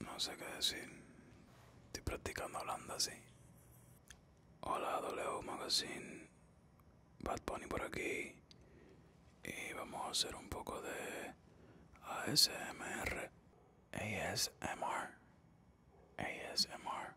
No sé qué decir. Estoy practicando hablando así. Hola W Magazine. Bad Pony por aquí. Y vamos a hacer un poco de ASMR. ASMR. ASMR.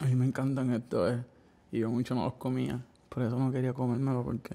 A mí me encantan estos, eh. Y yo mucho no los comía. Por eso no quería comérmelo porque.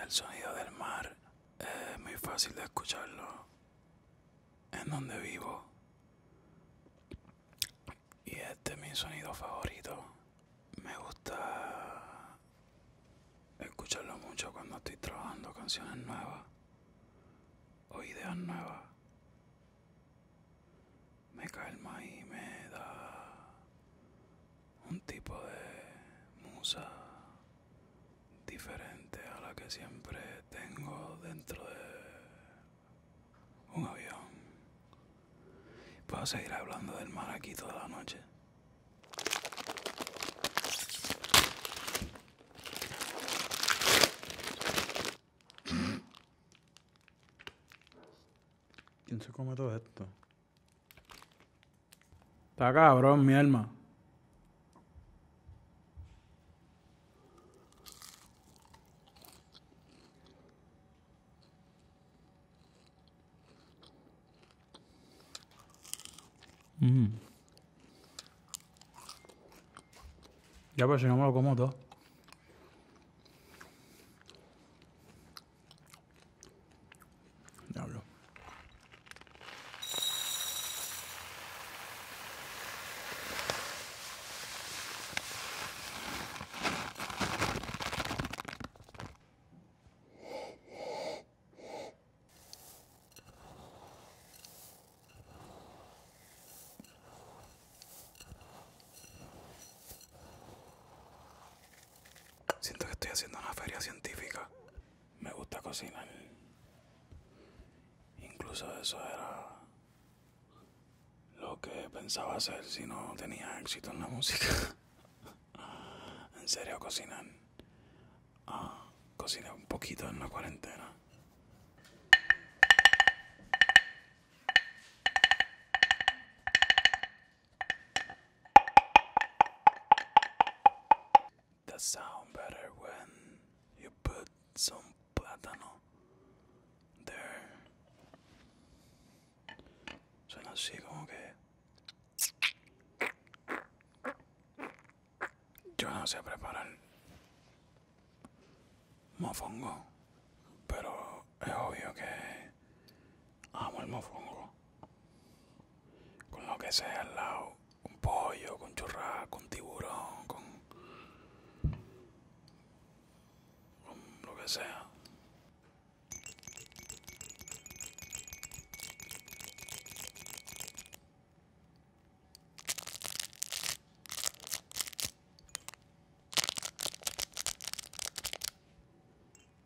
El sonido del mar es muy fácil de escucharlo en donde vivo. Y este es mi sonido favorito. Me gusta escucharlo mucho cuando estoy trabajando canciones nuevas o ideas nuevas. Me calma y me da un tipo de musa diferente a la que siempre tengo dentro de un avión. Puedo seguir hablando del mar aquí toda la noche. ¿Quién se come todo esto? Está cabrón, mi alma. Mm. Ya, pues si no me lo como todo. Diablo. Siento que estoy haciendo una feria científica me gusta cocinar. Incluso eso era lo que pensaba hacer si no tenía éxito en la música. en serio, cocinar. Ah, cociné un poquito en la cuarentena. That sound better when you put some plátano there. Suena así como que. Yo no sé preparar mofongo, pero es obvio que amo el mofongo. con lo que sea al lado, con pollo, con churrasco, con tiburón, con, con lo que sea.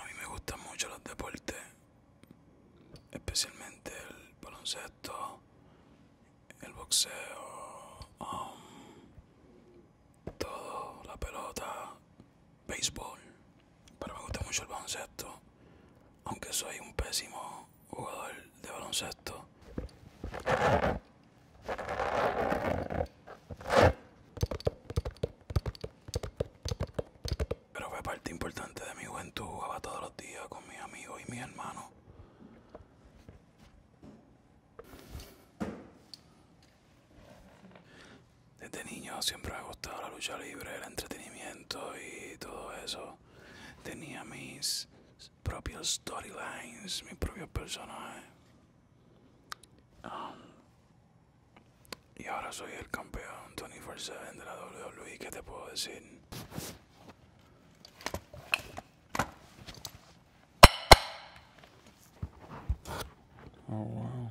A mí me gustan mucho los deportes, especialmente el baloncesto, el boxeo, um, todo, la pelota, béisbol. Pero me gusta mucho el baloncesto, aunque soy un pésimo jugador de baloncesto. Pero fue parte importante de mi juventud, jugaba todos los días con mis amigos y mi hermano. Desde niño siempre me ha gustado la lucha libre, el entretenimiento y todo eso. Tenía mis propios storylines, mis propios personajes. Um, y ahora soy el campeón Tony 7 de la WWE. ¿Qué te puedo decir? Oh, wow.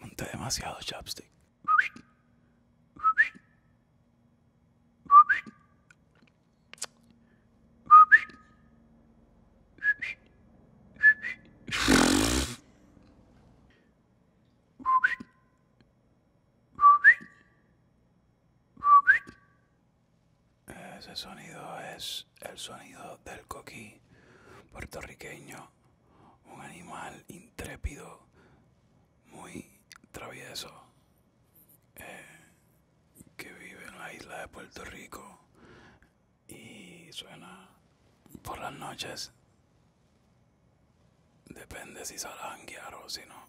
Monté demasiado chapstick. Ese sonido es el sonido del coquí puertorriqueño un animal intrépido, muy travieso, eh, que vive en la isla de Puerto Rico y suena por las noches. Depende si sale a o si no.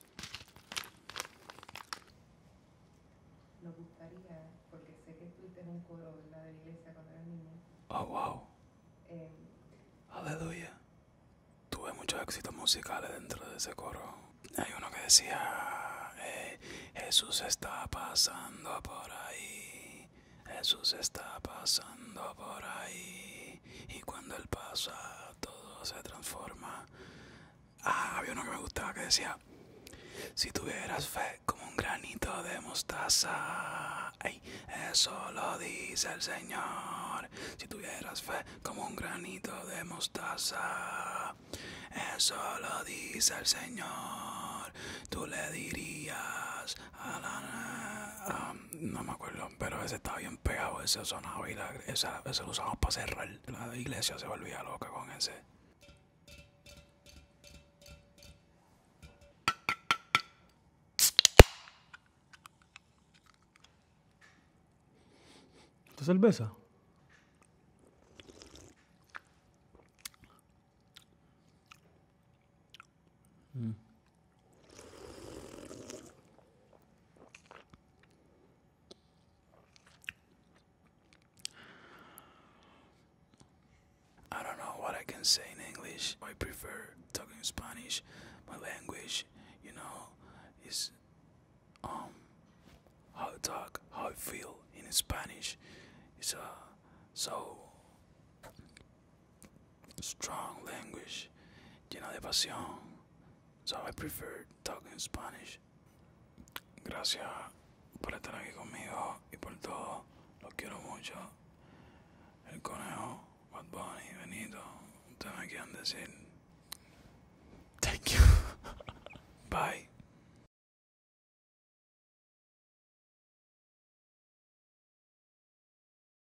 Lo gustaría, porque sé que estuviste en un coro de la iglesia contra el niño. Oh, wow. Eh, Aleluya. Tuve muchos éxitos musicales dentro de ese coro. Hay uno que decía, eh, Jesús está pasando por ahí. Jesús está pasando por ahí. Y cuando Él pasa, todo se transforma. Ah, había uno que me gustaba que decía, si tuvieras fe como un granito de mostaza, eso lo dice el Señor. Si tuvieras fe como un granito de mostaza, eso lo dice el Señor. Tú le dirías a la... Um, no me acuerdo, pero ese estaba bien pegado, ese sonaba y la, esa, ese lo usamos para cerrar. La iglesia se volvía loca con ese. ¿Esta cerveza? I don't know what I can say in English. I prefer talking Spanish. My language, you know, is um how I talk, how I feel in Spanish. It's a uh, so strong language, llena de pasión. So I prefer talking Spanish. Gracias por estar aquí conmigo y por todo. Los quiero mucho. El conejo, Bad Bunny, Benito, ustedes me quieren decir. Thank you. Bye.